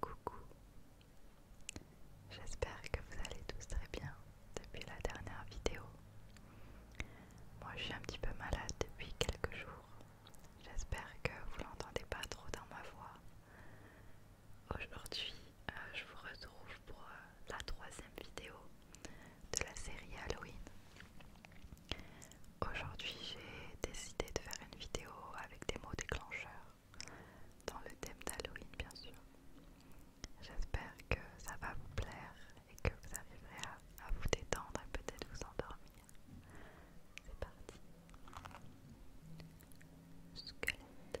Coucou, j'espère que vous allez tous très bien depuis la dernière vidéo. Moi je suis un petit peu malade depuis quelques jours. J'espère que vous l'entendez pas trop dans ma voix. Aujourd'hui, euh, je vous retrouve pour euh, la troisième vidéo de la série Halloween. Aujourd'hui, j'ai décidé de faire une vidéo avec des mots déclencheurs dans le thème d'Halloween, bien sûr. J'espère que ça va vous plaire et que vous arriverez à, vous détendre et peut-être vous endormir. C'est parti. Squelette.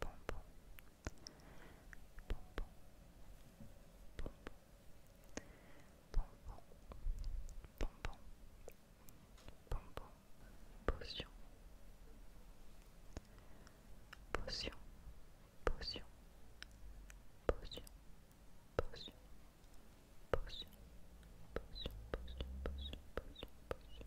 bonbon, pom pom pom pom pom pom pom Potion, potion, potion, potion, potion, potion,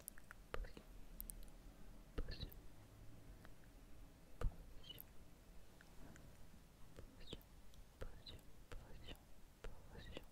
Potion fantôme, fantôme, fantôme,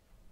fantôme